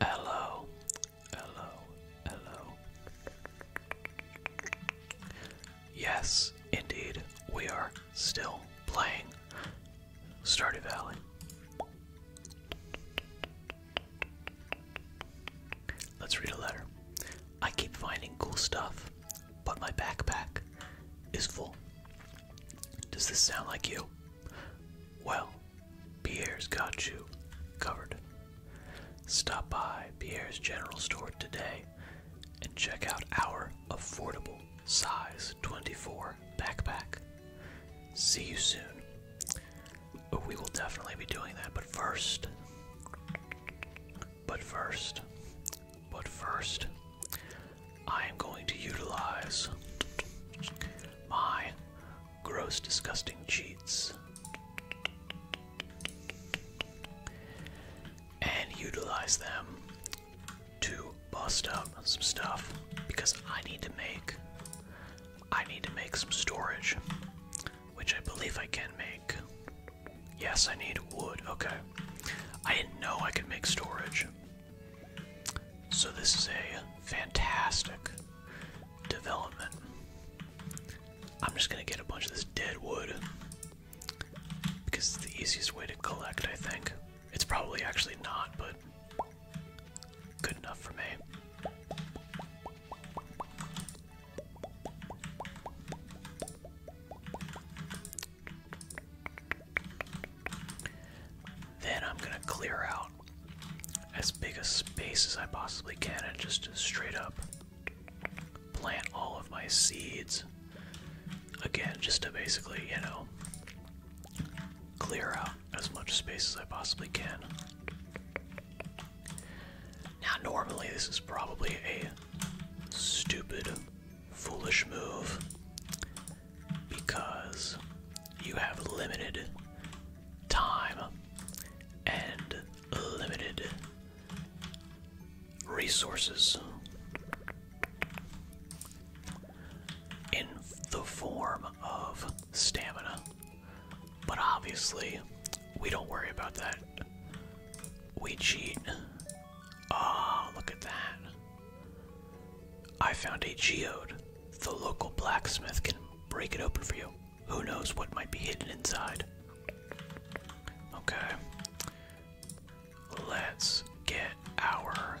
Hello, hello, hello. Yes, indeed, we are still playing Stardew Valley. Let's read a letter. I keep finding cool stuff, but my backpack is full. Does this sound like you? Well, Pierre's got you covered. Stop by Pierre's General Store today and check out our affordable size 24 backpack. See you soon. We will definitely be doing that, but first, but first, but first, I am going to utilize my Gross, disgusting cheats. And utilize them to bust up some stuff because I need to make I need to make some storage, which I believe I can make. Yes, I need wood. Okay. I didn't know I could make storage. So this is a fantastic development. I'm just gonna get a bunch of this dead wood because it's the easiest way to collect, I think. It's probably actually not, but good enough for me. Then I'm gonna clear out as big a space as I possibly can and just straight up plant all of my seeds. Again, just to basically, you know, clear out as much space as I possibly can. Now, normally, this is probably a stupid, foolish move because you have limited time and limited resources in the form of stamina. But obviously, we don't worry about that. We cheat. Oh, look at that. I found a geode. The local blacksmith can break it open for you. Who knows what might be hidden inside? Okay. Let's get our.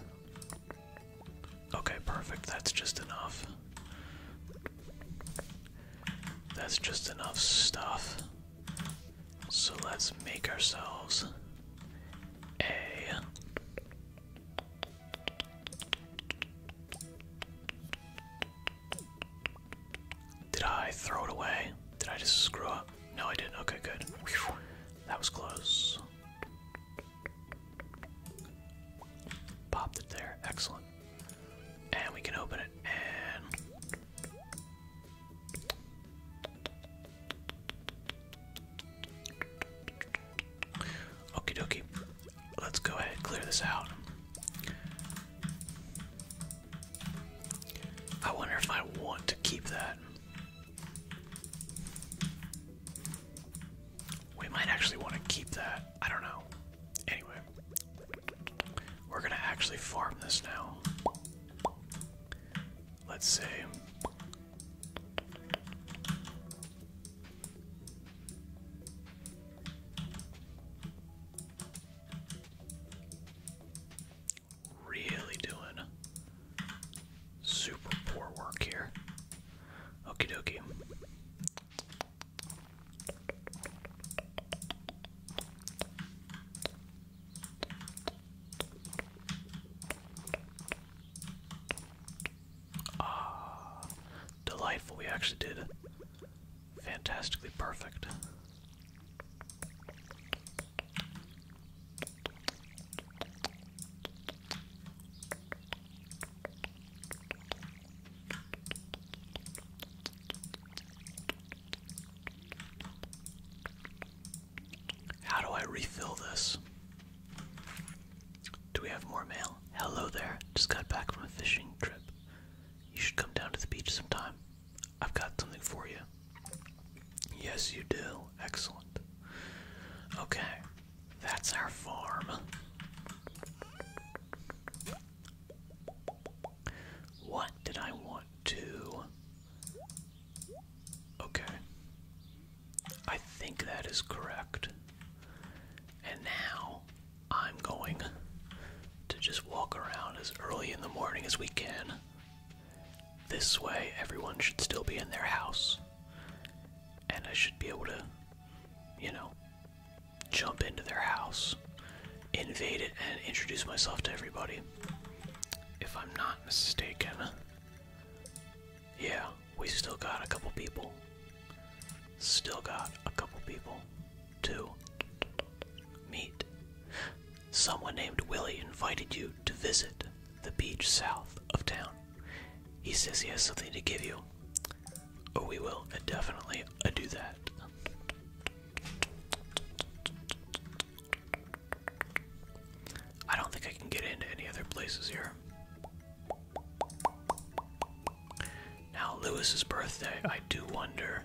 Okay, perfect. That's just enough. That's just enough stuff. So let's make ourselves a did I throw it away? Did I just screw up? No, I didn't. Okay, good. That was close. Popped it there. Excellent. And we can open it and. Okie dokie. Let's go ahead and clear this out. I wonder if I want to keep that. We might actually want to keep that. I don't know. Anyway, we're gonna actually farm this now. Let's see. Really doing super poor work here. Okie dokie. Ah, delightful. We actually did it. fantastically perfect. How do I refill this? Do we have more mail? Hello there. Just got back from a fishing trip. You should come down to the beach sometime. I've got something for you. Yes, you do. Excellent. Okay, that's our farm. What did I want to? Okay. I think that is correct. And now I'm going to just walk around as early in the morning as we can. This way, everyone should still be in their house. And I should be able to, you know, jump into their house, invade it, and introduce myself to everybody. If I'm not mistaken, yeah, we still got a couple people. Still got a couple people to meet. Someone named Willie invited you to visit the beach south of town. He says he has something to give you. Oh, we will definitely uh, do that. I don't think I can get into any other places here. Now Louis's birthday, I do wonder.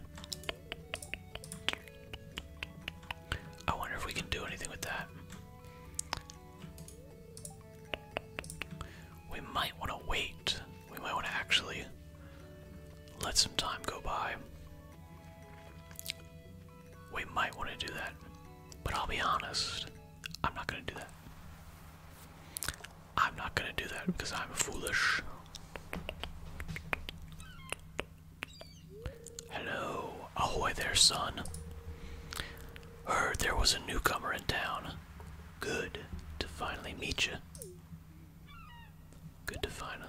I wonder if we can do anything with that. We might want to wait. We might want to actually let some time go by. We might want to do that. But I'll be honest, I'm not going to do that. I'm not gonna do that because I'm foolish. Hello, ahoy there, son. Heard there was a newcomer in town. Good to finally meet you. Good to finally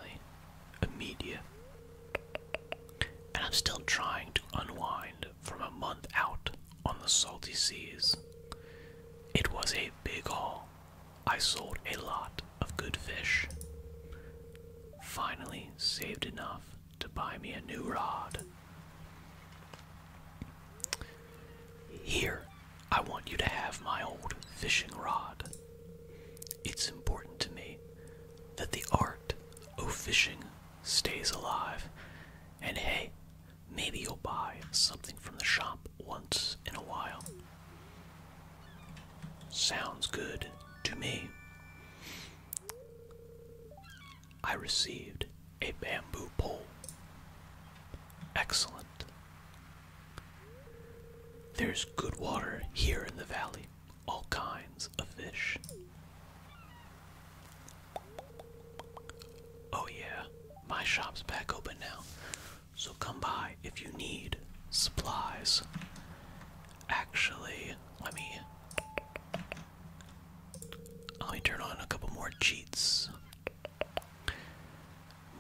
meet And I'm still trying to unwind from a month out on the salty seas. It was a big haul. I sold a lot of good fish. Finally, saved enough to buy me a new rod. Here, I want you to have my old fishing rod. It's important to me that the art of fishing stays alive and hey, maybe you'll buy something from the shop once in a while. Sounds good to me. I received a bamboo pole. Excellent. There's good water here in the valley, all kinds of fish. Oh, yeah, my shop's back open now, so come by if you need supplies. Actually, let me. Let me turn on a couple more cheats.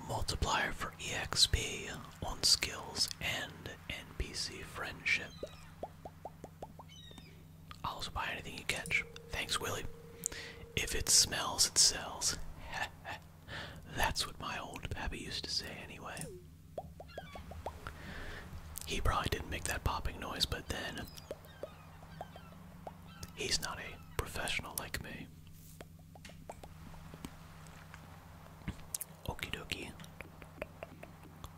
Multiplier for EXP on skills and NPC friendship. I'll also buy anything you catch. Thanks, Willie. If it smells, it sells. That's what my old pappy used to say anyway. He probably didn't make that popping noise, but then he's not a professional like me. Okie dokie.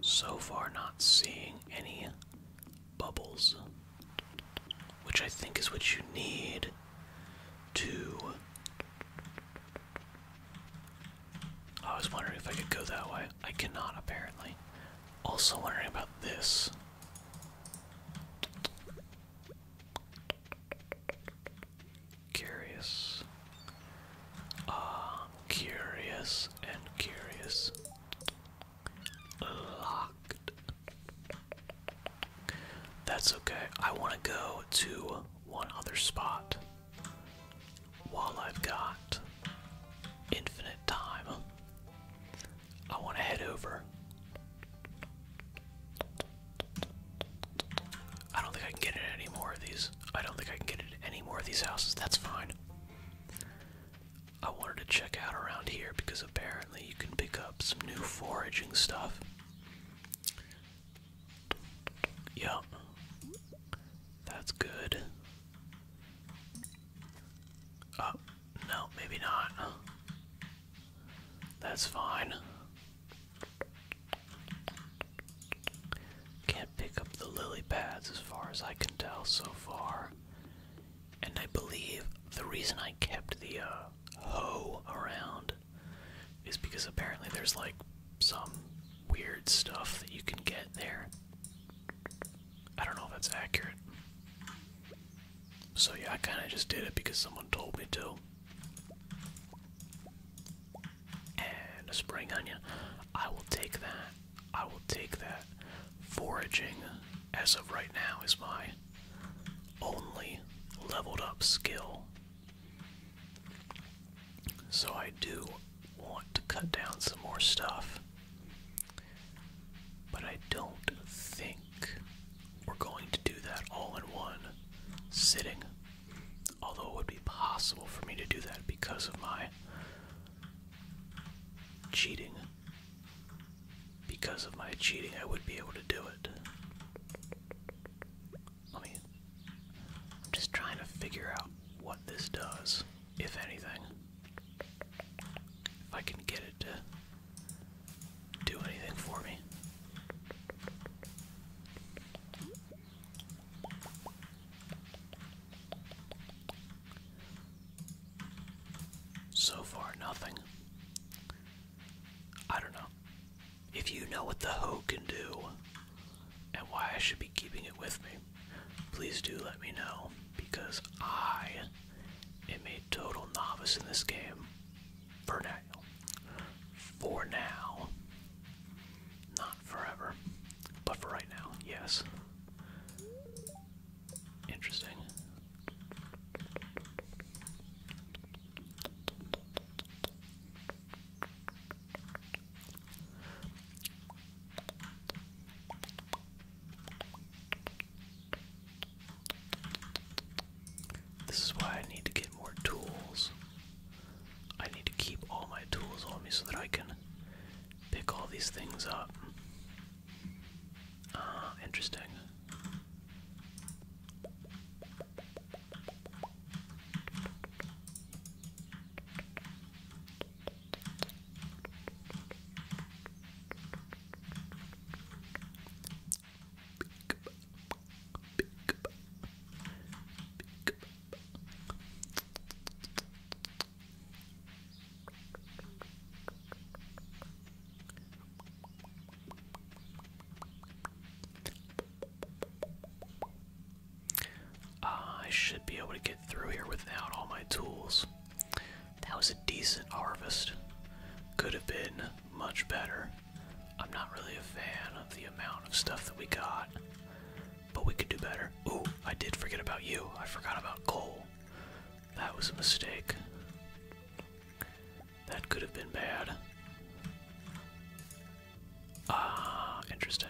So far, not seeing any bubbles, which I think is what you need to. I was wondering if I could go that way. I cannot, apparently. Also, wondering about this. Curious. Ah, curious and curious. Locked. That's okay. I want to go to one other spot while I've got infinite time. I want to head over. I don't think I can get in any more of these. I don't think I can get in any more of these houses. That's fine. I wanted to check out around here because apparently you can pick up some new foraging stuff. Yup. That's good. Oh, no, maybe not. That's fine. Can't pick up the lily pads as far as I can tell so far. And I believe the reason I kept the uh, hoe around is because apparently there's like some weird stuff that you can get there. I don't know if that's accurate. So yeah, I kind of just did it because someone told me to. And a spring onion. I will take that. I will take that. Foraging, as of right now, is my only leveled up skill. So I do want to cut down some more stuff. But I don't think we're going to do that all in one sitting. Although it would be possible for me to do that because of my cheating because of my cheating, I would be able to do it. Let me. I'm just trying to figure out what this does, if anything. If I can get it to do anything for me. So far, nothing. I don't know. If you know what the hoe can do and why I should be keeping it with me, please do let me know because I am a total novice in this game for now. For now. Not forever, but for right now, yes. Interesting. This is why I need to get more tools. I need to keep all my tools on me so that I can pick all these things up. Ah, interesting. I should be able to get through here without all my tools. That was a decent harvest. Could have been much better. I'm not really a fan of the amount of stuff that we got, but we could do better. Ooh, I did forget about you. I forgot about coal. That was a mistake. That could have been bad. Ah, interesting.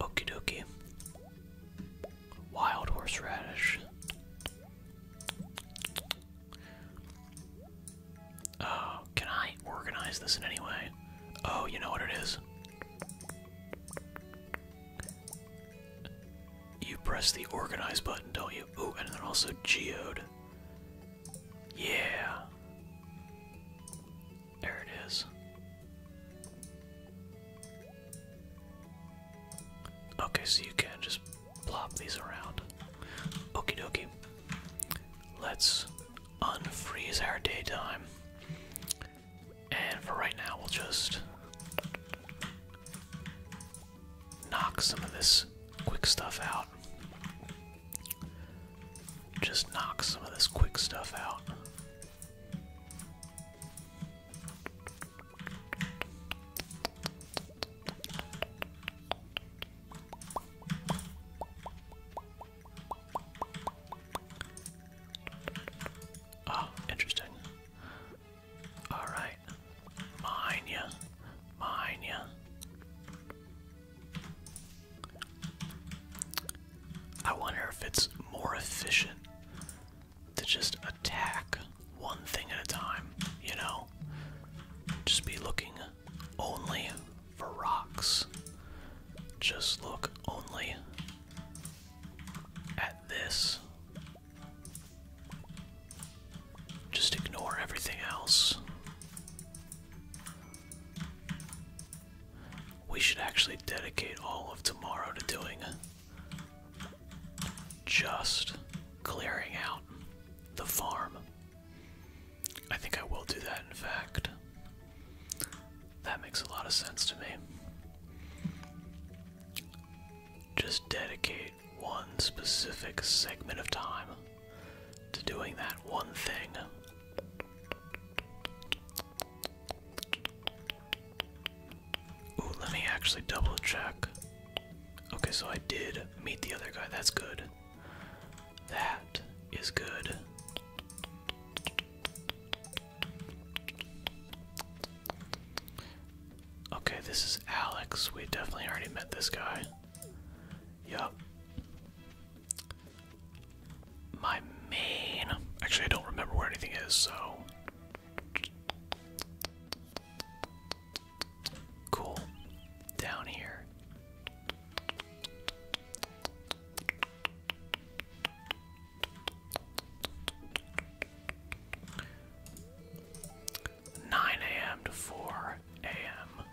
Okie dokie. Wild horseradish. Oh, can I organize this in any way? Oh, you know what it is? You press the organize button, don't you? Oh, and then also geode. Yeah. There it is. Okay, so you can just plop these around. Okey dokie. Let's unfreeze our daytime. And for right now, we'll just knock some of this quick stuff out. Just knock some of this quick stuff out. Oh, interesting. All right, mine ya, mine ya. I wonder if it's more efficient to just attack one thing at a time, you know? Just be looking only for rocks. Just look only at this. Just ignore everything else. We should actually dedicate all of tomorrow to doing just clearing out the farm. I think I will do that, in fact. That makes a lot of sense to me. Just dedicate one specific segment of time to doing that one thing. Ooh, let me actually double check. Okay, so I did meet the other guy. That's good. That is good. Okay, this is Alex. We definitely already met this guy. Yup. My main. Actually, I don't remember where anything is, so. Cool. Down here. Nine AM to four AM.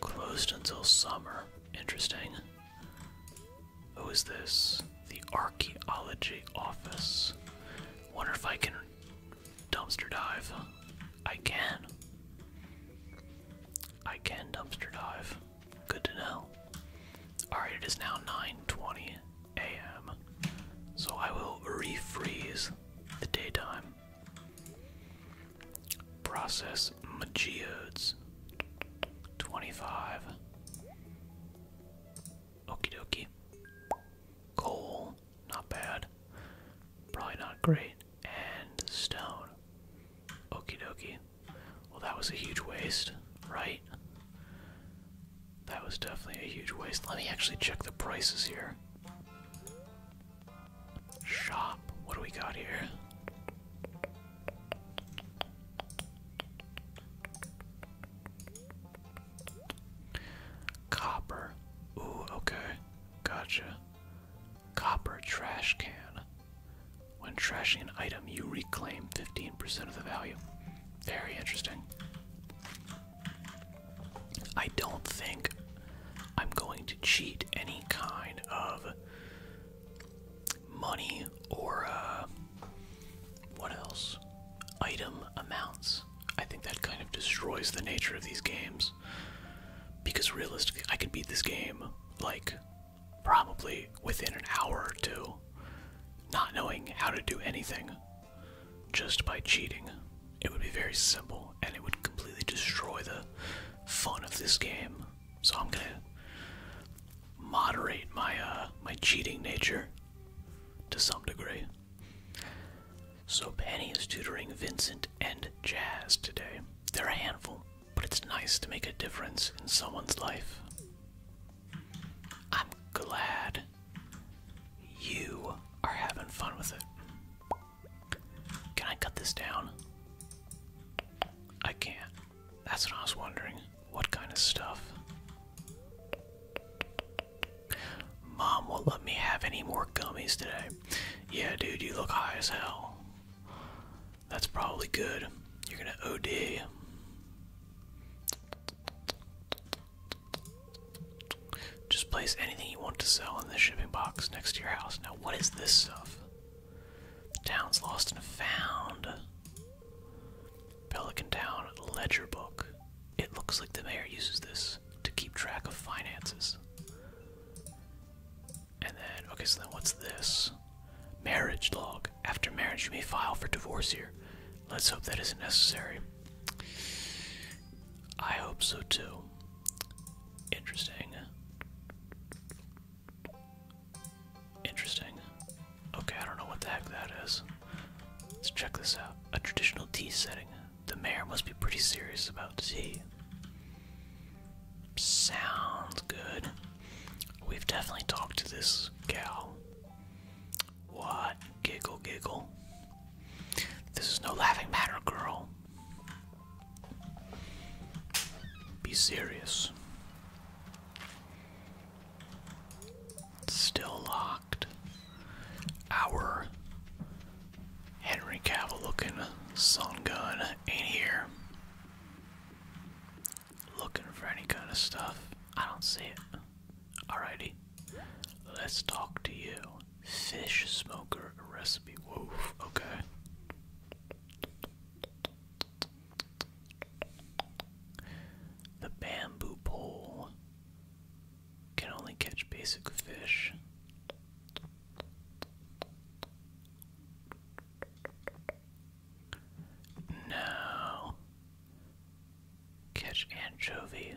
Closed until summer. Interesting. Who is this? The archaeology office. Wonder if I can dumpster dive. I can. I can dumpster dive. Good to know. Alright, it is now 9:20 a.m. So I will refreeze the daytime. Process Magiodes. 25. Okie dokie. Coal, not bad. Probably not great. And stone. Okie dokie. Well, that was a huge waste, right? That was definitely a huge waste. Let me actually check the prices here. Shop. What do we got here? Copper. Ooh, okay. Gotcha. Copper trash can. When trashing an item, you reclaim 15% of the value. Very interesting. I don't think I'm going to cheat any kind of money or uh, what else? Item amounts. I think that kind of destroys the nature of these games. Because realistically, I could beat this game like probably within an hour or two, not knowing how to do anything just by cheating. It would be very simple and it would completely destroy the fun of this game so I'm gonna moderate my uh, my cheating nature to some degree. So Penny is tutoring Vincent and Jazz today. They're a handful, but it's nice to make a difference in someone's life. I'm glad you are having fun with it. Can I cut this down? I can't. That's what I was wondering. What kind of stuff? Mom won't let me have any more gummies today. Yeah, dude, you look high as hell. That's probably good. You're gonna OD. Just place anything you want to sell in the shipping box next to your house. Now, what is this stuff? The town's lost and found. Pelican Town ledger book. It looks like the mayor uses this to keep track of finances. And then, okay, so then what's this? Marriage log. After marriage, you may file for divorce here. Let's hope that isn't necessary. I hope so too. Interesting. Interesting. Okay, I don't know what the heck that is. Let's check this out. A traditional tea setting. The mayor must be pretty serious about tea. Sounds good. We've definitely talked to this gal. What? Giggle, giggle. This is no laughing matter, girl. Be serious. Still locked. Our Henry Cavill looking sun gun ain't here. Looking for any kind of stuff. I don't see it. Alrighty. Let's talk to you. Fish smoker recipe. Wolf. Okay. The bamboo pole can only catch basic fish. No. Catch anchovy.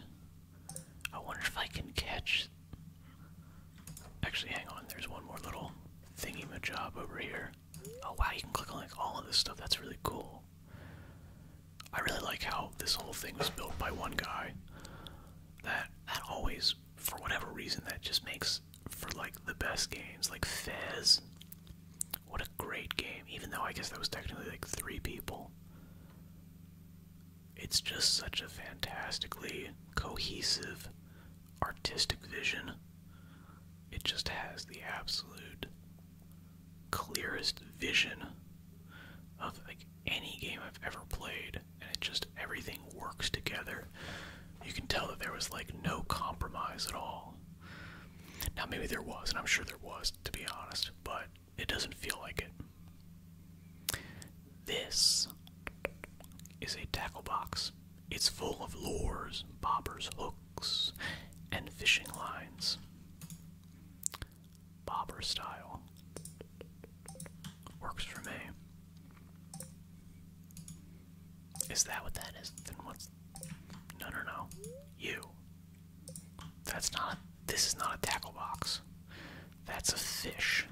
I wonder if I can catch. Actually, hang on, there's one more little thingy majob over here. Oh wow, you can click on like all of this stuff. That's really cool. I really like how this whole thing was built by one guy. That that always, for whatever reason, that just makes for like the best games. Like Fez, what a great game. Even though I guess that was technically like three people. It's just such a fantastically cohesive, artistic vision it just has the absolute clearest vision of like any game I've ever played, and it just everything works together. You can tell that there was like no compromise at all. Now maybe there was, and I'm sure there was, to be honest, but it doesn't feel like it. This is a tackle box. It's full of lures, bobbers, hooks, and fishing lines. Bobber style. Works for me. Is that what that is? Then what's. No, no, no. You. That's not. This is not a tackle box. That's a fish.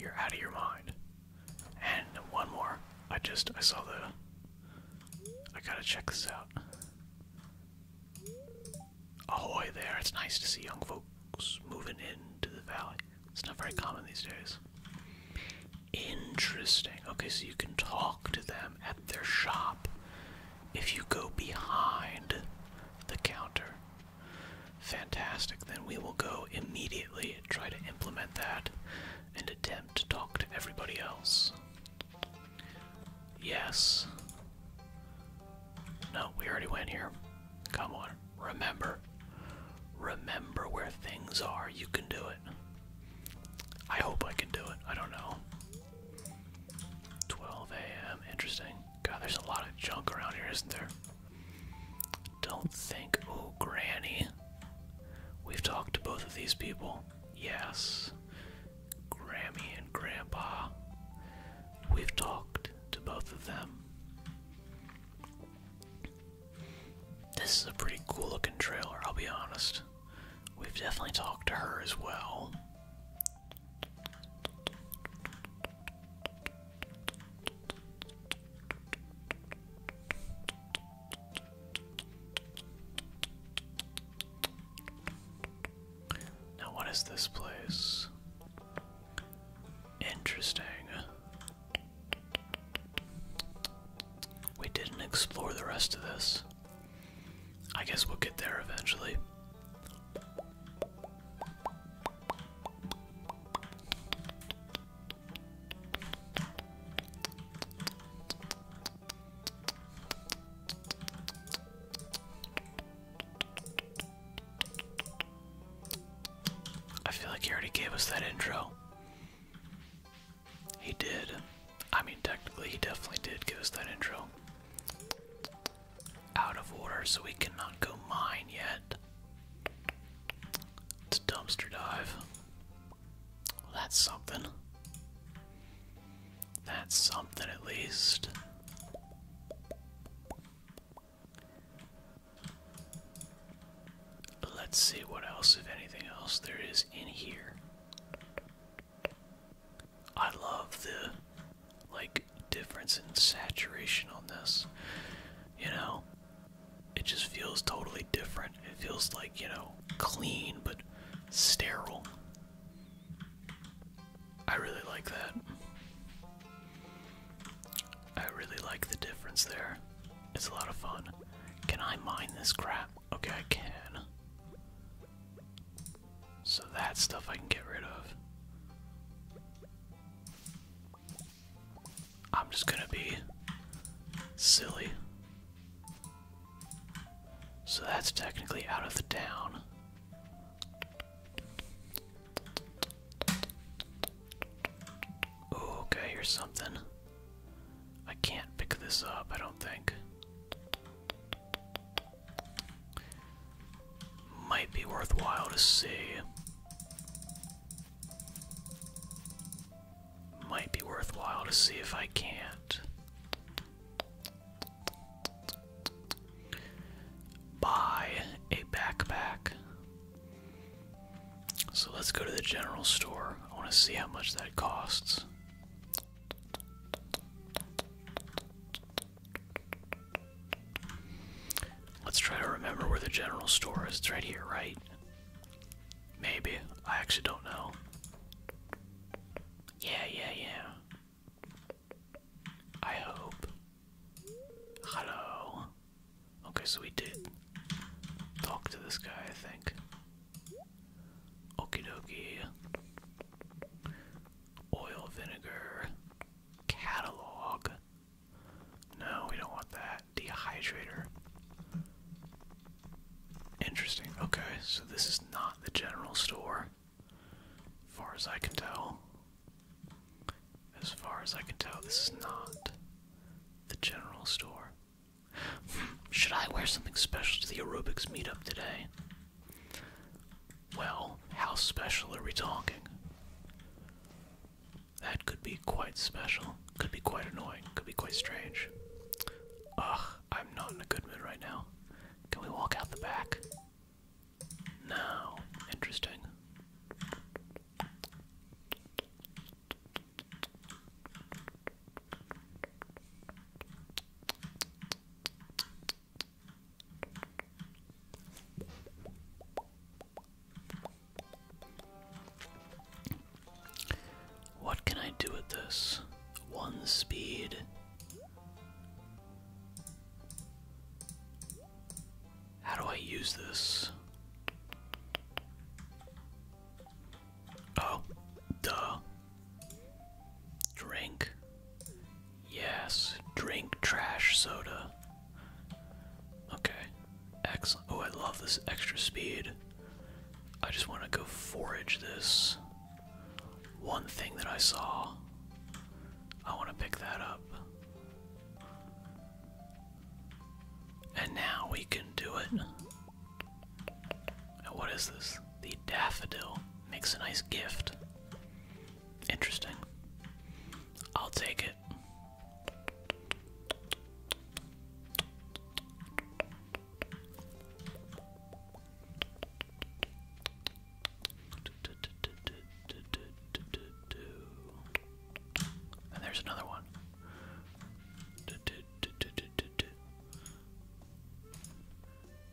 You're out of your mind. And one more. I just I saw the I gotta check this out. Ahoy there, it's nice to see young folks moving into the valley. It's not very common these days. Interesting. Okay, so you can talk to them at their shop if you go behind the counter. Fantastic. Then we will go immediately and try to implement that and attempt to talk to everybody else. Yes. No, we already went here. Come on, remember. Remember where things are. You can do it. I hope I can do it. I don't know. 12 a.m. Interesting. God, there's a lot of junk around here, isn't there? Don't think. Oh, Granny. We've talked to both of these people. Yes. Grammy and Grandpa. We've talked to both of them. This is a pretty cool looking trailer, I'll be honest. We've definitely talked to her as well. Now, what is this place? Interesting. We didn't explore the rest of this. I guess we'll get there eventually. I feel like he already gave us that intro. He did. I mean, technically, he definitely did give us that intro. Out of order, so we cannot go mine yet. It's dumpster dive that's something. That's something at least. Let's see what else, if anything else, there is in here. I love the like difference in saturation on this. You know, it just feels totally different. It feels like, you know, clean but sterile. I really like that. I really like the difference there. It's a lot of fun. Can I mine this crap? Okay, I can. So that stuff I can get rid of. I'm just gonna be silly. So that's technically out of the town. okay, here's something. I can't pick this up, I don't think. Might be worthwhile to see. Might be worthwhile to see if I can't. Buy a backpack. So let's go to the general store. I want to see how much that costs. Let's try to remember where the general store is. It's right here, right? Maybe. I actually don't know. Yeah, yeah, yeah. I hope. Hello. Okay, so we did talk to this guy, I think. Okie dokie. Oil vinegar. Catalog. No, we don't want that dehydrator. Interesting. Okay, so this is not the general store. Far as I can tell. As far as I can tell, this is not the general store. Hmm, should I wear something special to the aerobics meetup today? Well, how special are we talking? That could be quite special. Could be quite annoying. Could be quite strange. Ugh, I'm not in a good mood right now. Can we walk out the back? No. Interesting. What can I do with this? One speed. How do I use this? Oh, duh. Drink. Yes, drink trash soda. Okay. Excellent. Oh, I love this extra speed. I just want to go forage this one thing that I saw. I want to pick that up. And now we can do it. what is this? The daffodil makes a nice gift. Interesting. I'll take it. And there's another one.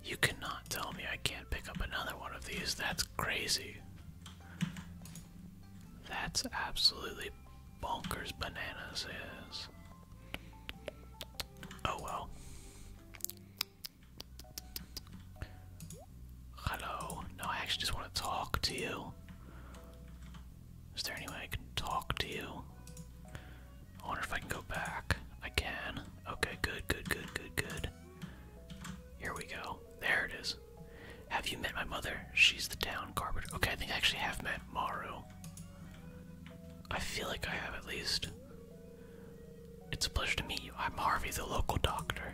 You cannot tell me I can't pick up another one of these. That's crazy. That's absolutely bonkers bananas is. Oh well. Hello. No, I actually just want to talk to you. Is there any way I can talk to you? I wonder if I can go back. I can. Okay, good, good, good, good, good. Here we go. There it is. Have you met my mother? She's the town carpenter. Okay, I think I actually have met Maru. I feel like I have at least. It's a pleasure to meet you. I'm Harvey, the local doctor.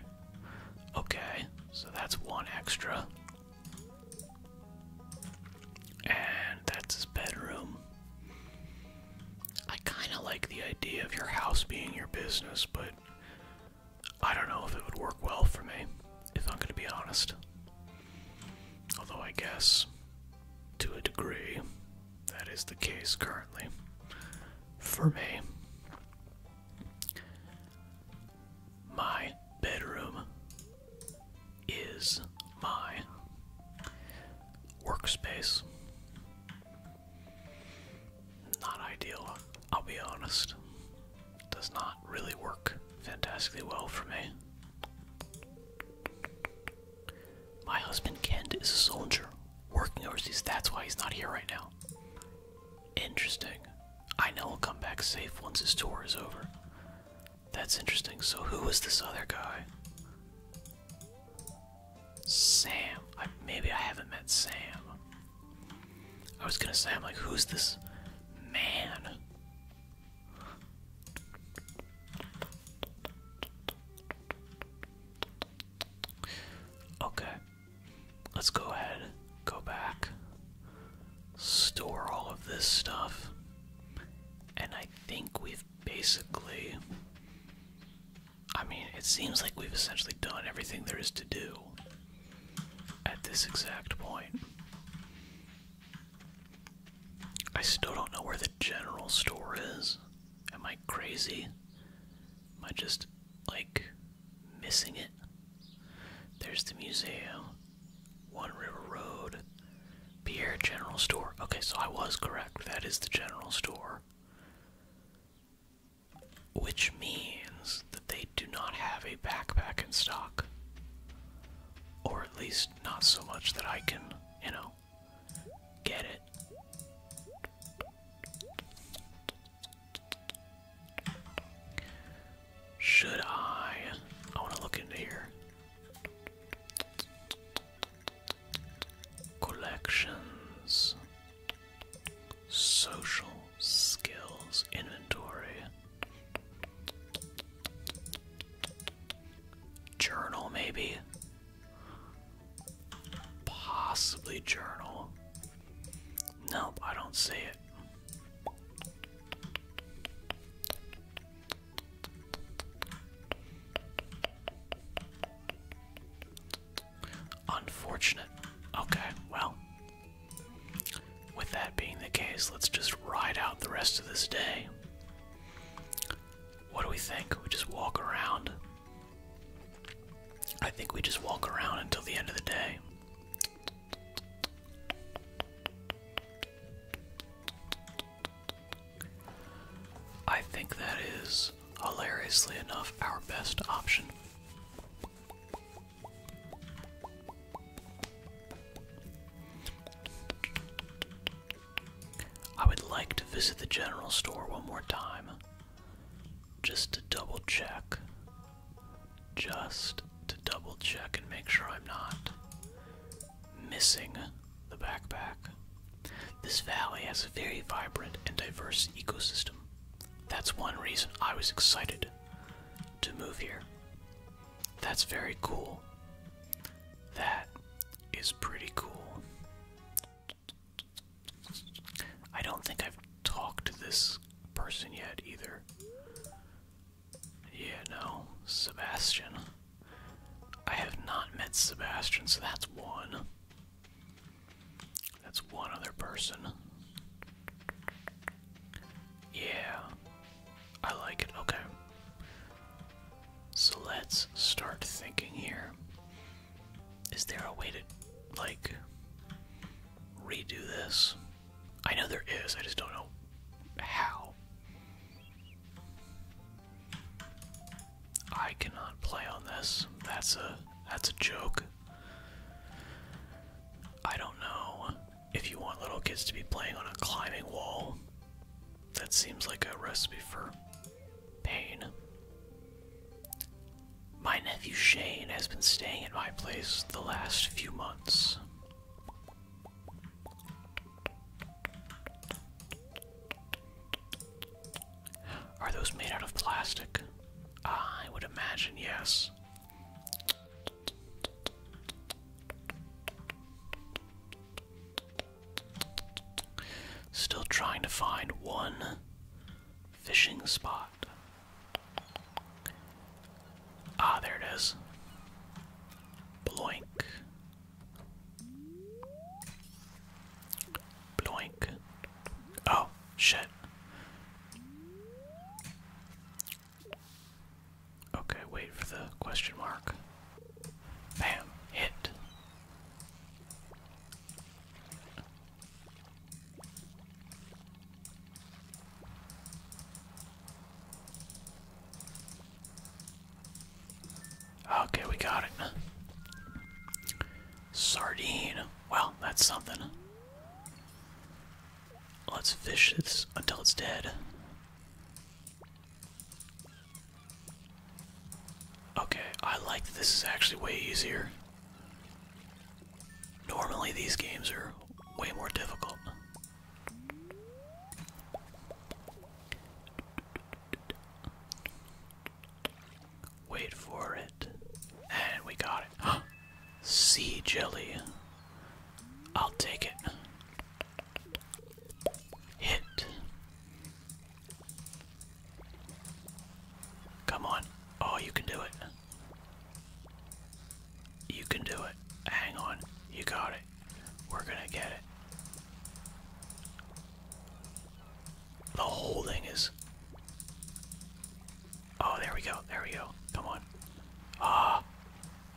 Okay, so that's one extra. And that's his bedroom. I kind of like the idea of your house being your business, but I don't know if it would work well for me, if I'm going to be honest. Although, I guess, to a degree, that is the case currently for me. My bedroom is my workspace. Not ideal, I'll be honest does not really work fantastically well for me. My husband Kent is a soldier working overseas. That's why he's not here right now. Interesting. I know he'll come back safe once his tour is over. That's interesting. So who was this other guy? Sam. maybe I haven't met Sam. I was gonna say, I'm like, who's this man? Okay, let's go ahead, go back, store all of this stuff, and I think we've basically. I mean, it seems like we've essentially done everything there is to do at this exact point. I still don't know where the general store is. Am I crazy? Am I just like missing it? There's the museum, One River Road, Pierre General Store. Okay, so I was correct. That is the general store. Which means that they do not have a backpack in stock. Or at least not so much that I can, you know, get it. Should I? I want to look into here. Collections, social skills, inventory. Journal, maybe? Possibly journal. Nope, I don't see it. Unfortunate. Okay, well, with that being the case, let's just ride out the rest of this day. What do we think? We just walk around. I think we just walk around until the end of the day. I think that is, hilariously enough, our best option. I would like to visit the general store one more time. Just to double check. Just to double check and make sure I'm not missing the backpack. This valley has a very vibrant and diverse ecosystem. That's one reason I was excited to move here. That's very cool. That is pretty cool. I don't think I've talked to this person yet either. Yeah, no. Sebastian. I have not met Sebastian, so that's one. That's one other person. Yeah, I like it. Okay. So let's start thinking here. Is there a way to, like, redo this? I know there is, I just don't know how. I cannot play on this. That's a that's a joke. I don't know if you want little kids to be playing on a climbing wall, that seems like a recipe for pain. My nephew Shane has been staying at my place the last few months. Are those made out of plastic? I would imagine yes. Still trying to find one fishing spot. Ah, there it is. Bloink. Bloink. Oh, shit. Okay, wait for the question mark. Bam, hit. Okay, we got it. Sardine. Well, that's something. Let's fish this until it's dead. Okay, I like this is actually way easier. Normally, these games are way more difficult. Wait for it. And we got it. Sea jelly. I'll take it. Hit. Come on. Oh, you can do it. You can do it. Hang on. You got it. We're gonna get it. The whole thing is. Oh, there we go. There we go. Come on. Ah.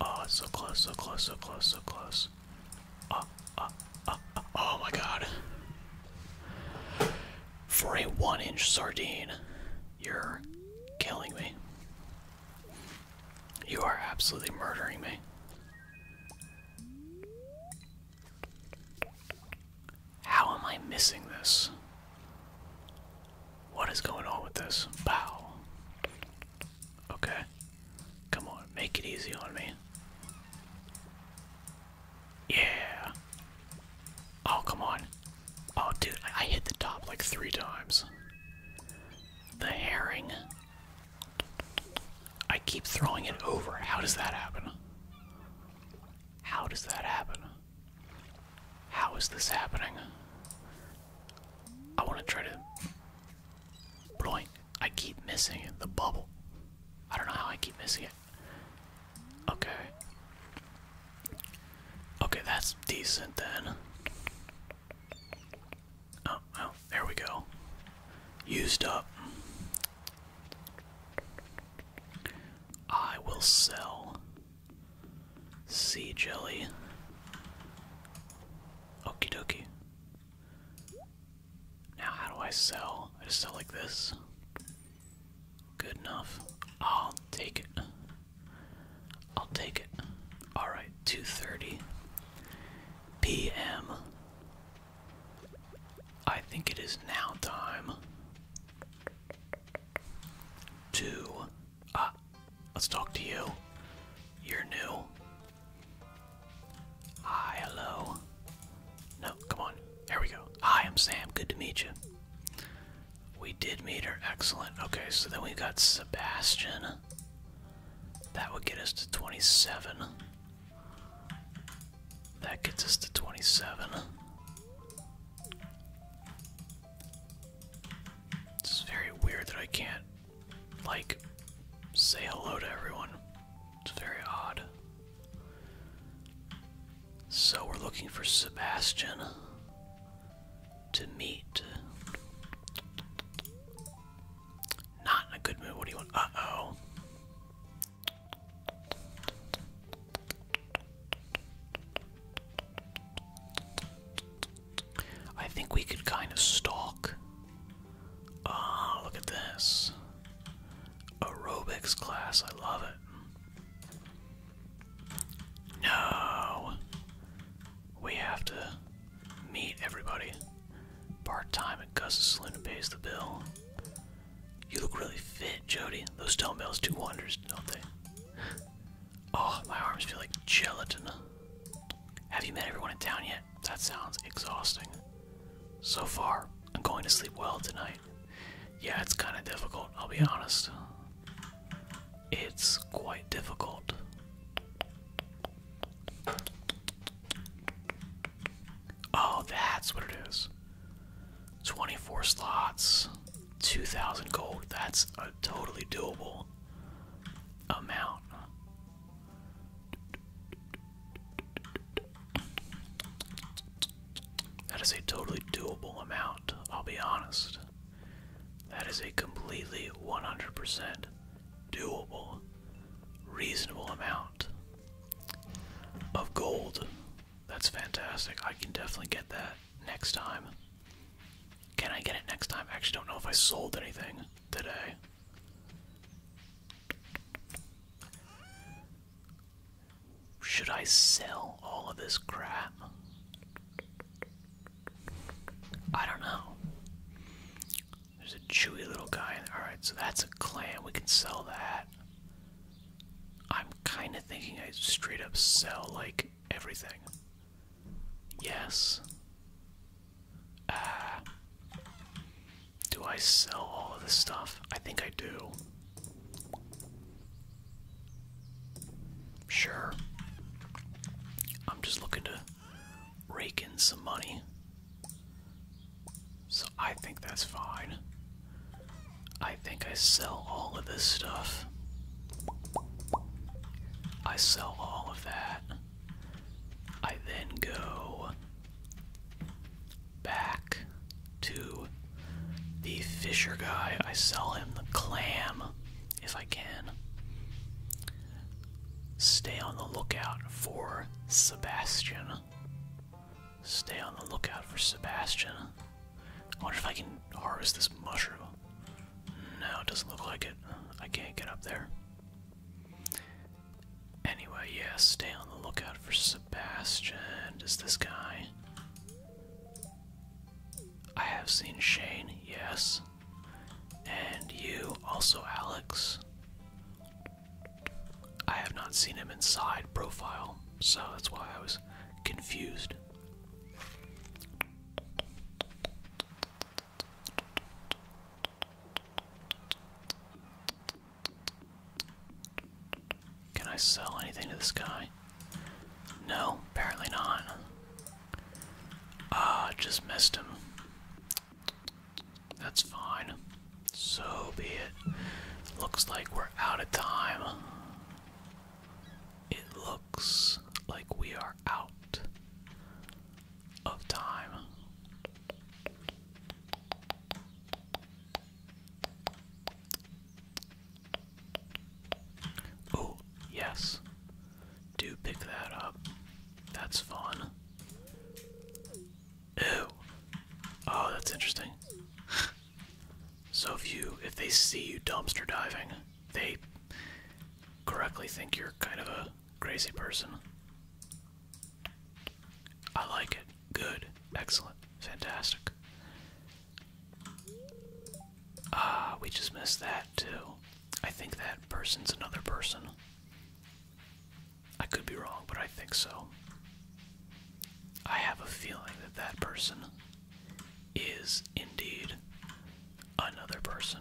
Oh, so close, so close, so close, so close. Oh, oh, oh, oh, oh my god. For a one inch sardine, you're killing me. You are absolutely murdering me. How am I missing this? What is going on with this? Bow. Okay. Come on, make it easy on me. Yeah. Oh, come on. Oh, dude, I, I hit the top like three times. The herring. I keep throwing it over. How does that happen? How does that happen? How is this happening? I want to try to. Blowing. I keep missing it. The bubble. I don't know how I keep missing it. Okay. Okay, that's decent then. Oh, well, oh, there we go. Used up. I will sell sea jelly. Okie dokie. Now, how do I sell? I just sell like this. Good enough. I'll take it. I'll take it. Alright, 2.30 p.m. I think it is now time to Ah, let's talk to you. You're new. Hi, hello. No, come on. There we go. Hi, I'm Sam. Good to meet you. We did meet her. Excellent. Okay, so then we got Sebastian. That would get us to 27. That gets us to 27. It's very weird that I can't like say hello to everyone. It's very odd. So we're looking for Sebastian to meet. Not in a good mood. What do you want? Uh oh. I think we could kind of stalk. Ah, look at this. Aerobics class, I love it. No. We have to meet everybody. Part time at Gus's Saloon and pays the bill. You look really fit, Jody. Those dumbbells do wonders, don't they? Oh, my arms feel like gelatin. Have you met everyone in town yet? That sounds exhausting. So far, I'm going to sleep well tonight. Yeah, it's kind of difficult, I'll be honest. It's quite difficult. Oh, that's what it is. 24 slots, 2,000 gold. That's uh, totally doable amount. That is a totally doable amount, I'll be honest. That is a completely 100% doable, reasonable amount of gold. That's fantastic. I can definitely get that next time. Can I get it next time? I actually don't know if I sold anything today. Should I sell all of this crap? I don't know. There's a chewy little guy. Alright, so that's a clan. We can sell that. I'm kind of thinking I straight up sell, like, everything. Yes. Ah. do I sell all of this stuff? I think I do. Sure. I'm just looking to rake in some money. So I think that's fine. I think I sell all of this stuff. I sell all of that. I then go back to the fisher guy. I sell him the clam if I can. Stay on the lookout for Sebastian. Stay on the lookout for Sebastian. I wonder if I can harvest this mushroom no, it doesn't look like it. I can't get up there. Anyway, yeah, stay on the lookout for Sebastian. Is this guy? I have seen Shane, yes. And you, also Alex. I have not seen him inside profile, so that's why I was confused. Can I sell anything to this guy? No, apparently not. Ah, just missed him. That's fine. So be it. Looks like we're out of time. It looks like we are out of time. Oh, yes. Do pick that up. That's fun. Ew. Oh, that's interesting. so if you if they see you dumpster diving, they correctly think you're kind of a Crazy person. I like it. Good. Excellent. Fantastic. Ah, we just missed that too. I think that person's another person. I could be wrong, but I think so. I have a feeling that that person is indeed another person.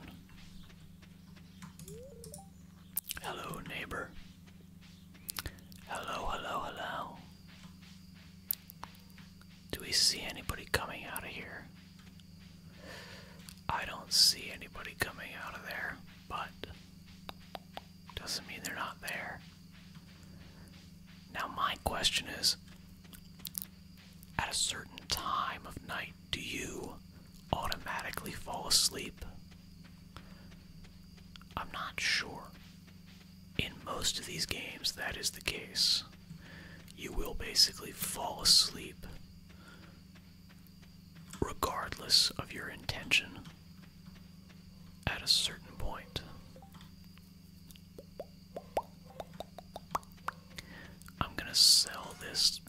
Hello, neighbor. Hello, hello, hello. Do we see anybody coming out of here? I don't see anybody coming out of there, but doesn't mean they're not there. Now, my question is at a certain time of night, do you automatically fall asleep? I'm not sure. In most of these games, that is the case. You will basically fall asleep regardless of your intention at a certain point. I'm going to sell this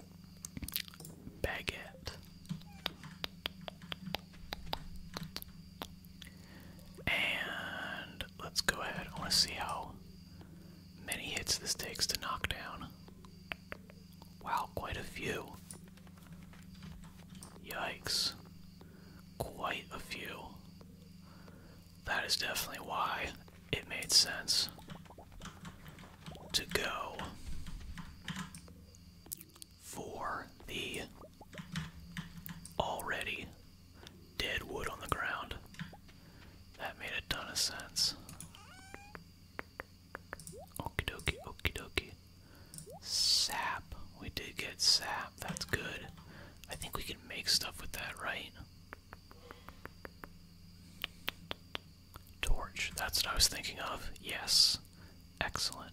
baguette. And let's go ahead. I want to see how many hits this takes to knock down. Wow, quite a few. Yikes. Quite a few. That is definitely why it made sense to go for the already dead wood on the ground. That made a ton of sense. Okie dokie, okie dokie. Sap. We did get sap. That's good. I think we can make stuff with that, right? Torch. That's what I was thinking of. Yes. Excellent.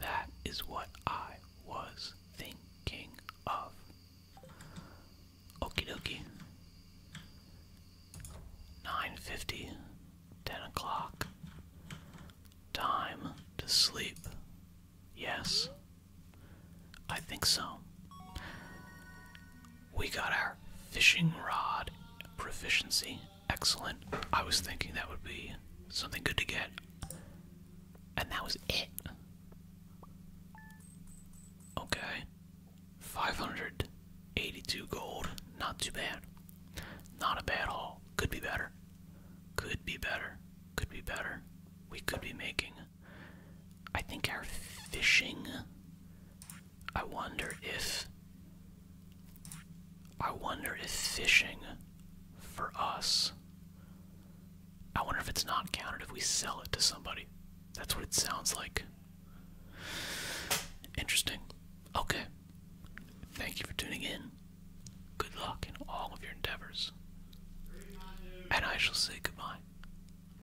That is what I was thinking of. Okie dokie. 9.50, 10 o'clock. Time to sleep. Yes? I think so. We got our fishing rod proficiency. Excellent. I was thinking that would be something good to get. And that was it. Okay. 582 gold. Not too bad. Not a bad haul. Could be better. Could be better. Could be better. We could be making I think our fishing. I wonder if. I wonder if fishing for us. I wonder if it's not counted if we sell it to somebody. That's what it sounds like. Interesting. Okay. Thank you for tuning in. Good luck in all of your endeavors. And I shall say goodbye.